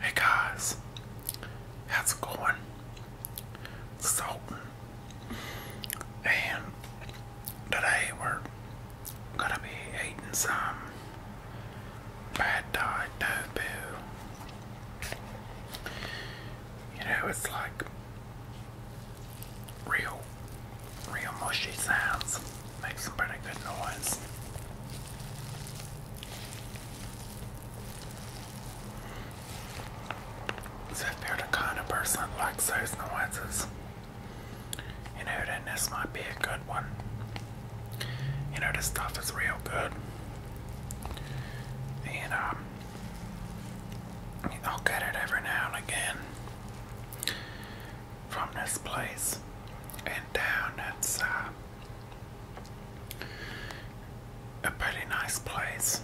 Hey guys, how's it going? So, And today we're gonna be eating some bad dye tofu. You know, it's like real, real mushy sounds. Makes some pretty good noise. So if you're the kind of person that likes those noises, you know then this might be a good one. You know this stuff is real good. And um I'll get it every now and again from this place and down. It's uh, a pretty nice place,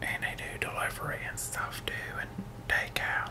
and do delivery and stuff too, and takeout.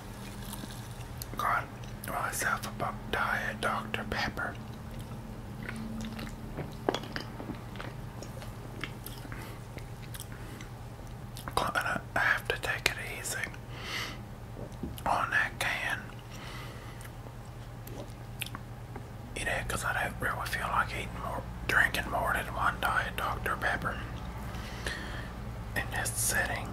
got oh, myself a Diet Dr. Pepper. Gonna have to take it easy on that can. You know, because I don't really feel like eating more, drinking more than one Diet Dr. Pepper in this setting.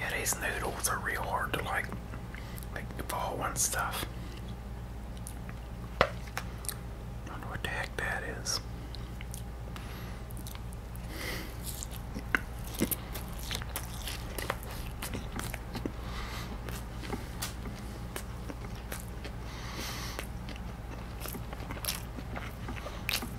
Yeah, these noodles are real hard to like, like ball and stuff. Wonder what the heck that is.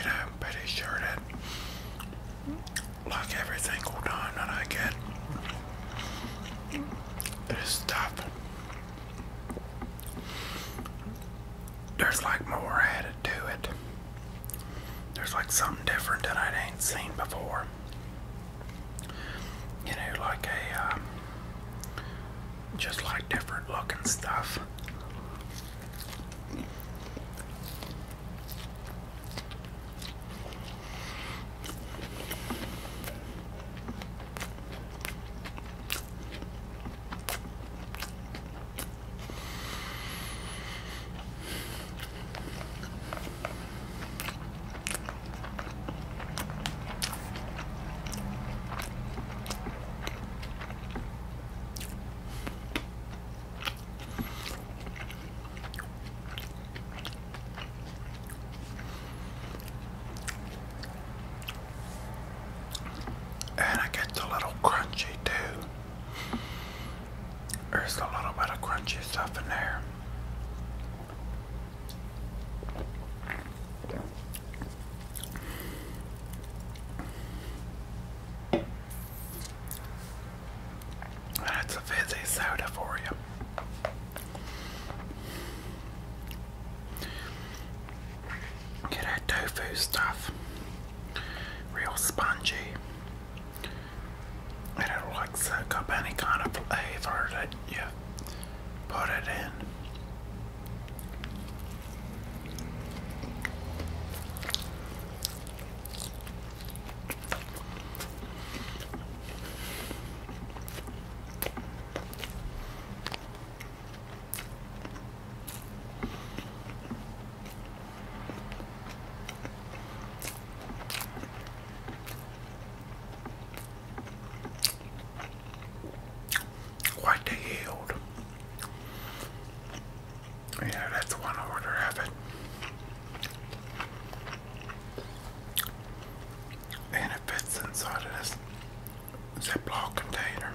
And pretty sure that, like every single time that I get this stuff, there's like more added to it. There's like something different that I ain't seen before you know, like a um, just like different looking stuff. And it gets a little crunchy too. There's a little bit of crunchy stuff in there. That's a fizzy soda for you. Get that tofu stuff. Real spongy. I don't like suck up any kind of flavor that you put it in. What the yield? Yeah, that's one order of it. And it fits inside of this Ziploc container.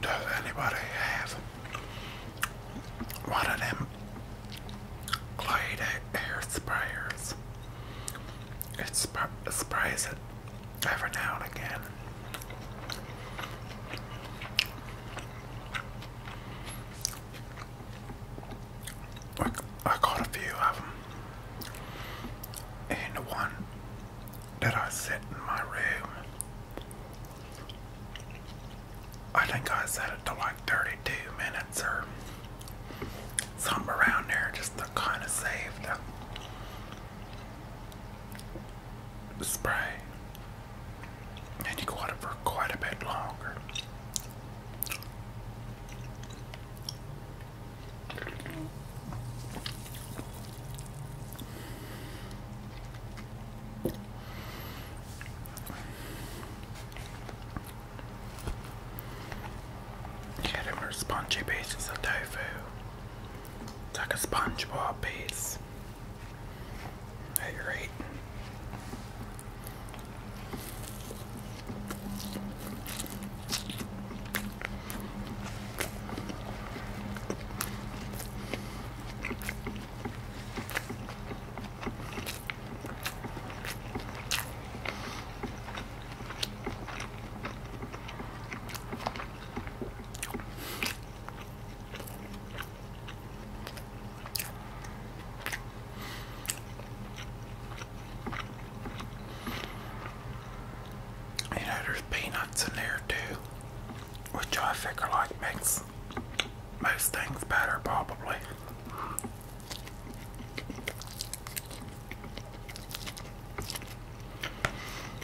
Does anybody have one of them Glade air sprayers? It sprays it every now and again. I, got a few of them, and one that I set in my room, I think I set it to like 32 minutes or something around there just to kind of save the spray, and you go on it for quite a bit longer. Yeah, them are spongy pieces of tofu. like a SpongeBob piece. Hey, you're right. You know, there's peanuts in there too, which I figure like makes most things better, probably.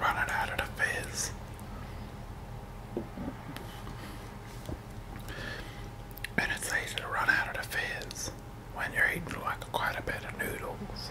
Running out of the fizz. And it's easy to run out of the fizz when you're eating like quite a bit of noodles.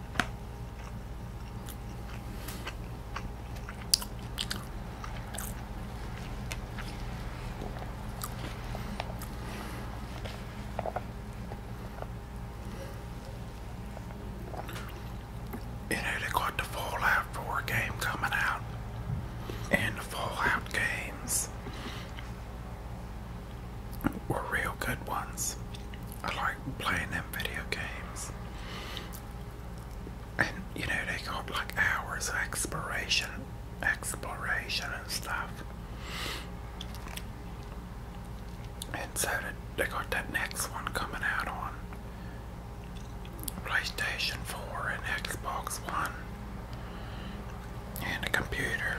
You know, they got the Fallout 4 game coming out, and the Fallout games were real good ones. I like playing them video games. And you know they got like hours of exploration exploration and stuff. And so they got that next one coming out on PlayStation 4 and Xbox One and a computer.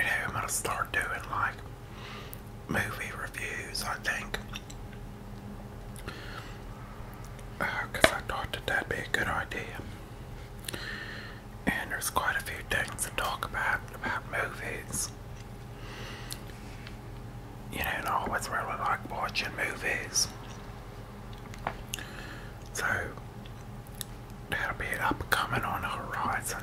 I'm gonna start doing like movie reviews, I think. Because uh, I thought that that'd be a good idea and there's quite a few things to talk about about movies. You know, I always really like watching movies. So that'll be upcoming on the horizon.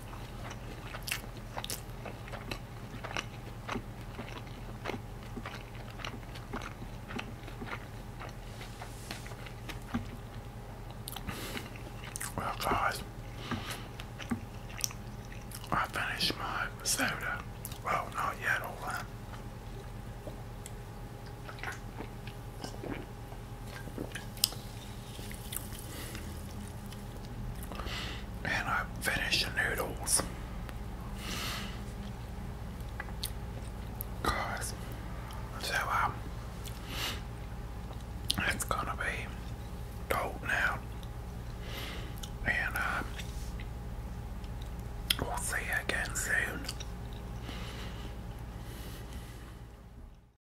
Well, guys, I finished my soda. Well, not yet, all and I finish the noodles. Guys, so um, it's gonna be cold now, and um, we'll see you again soon.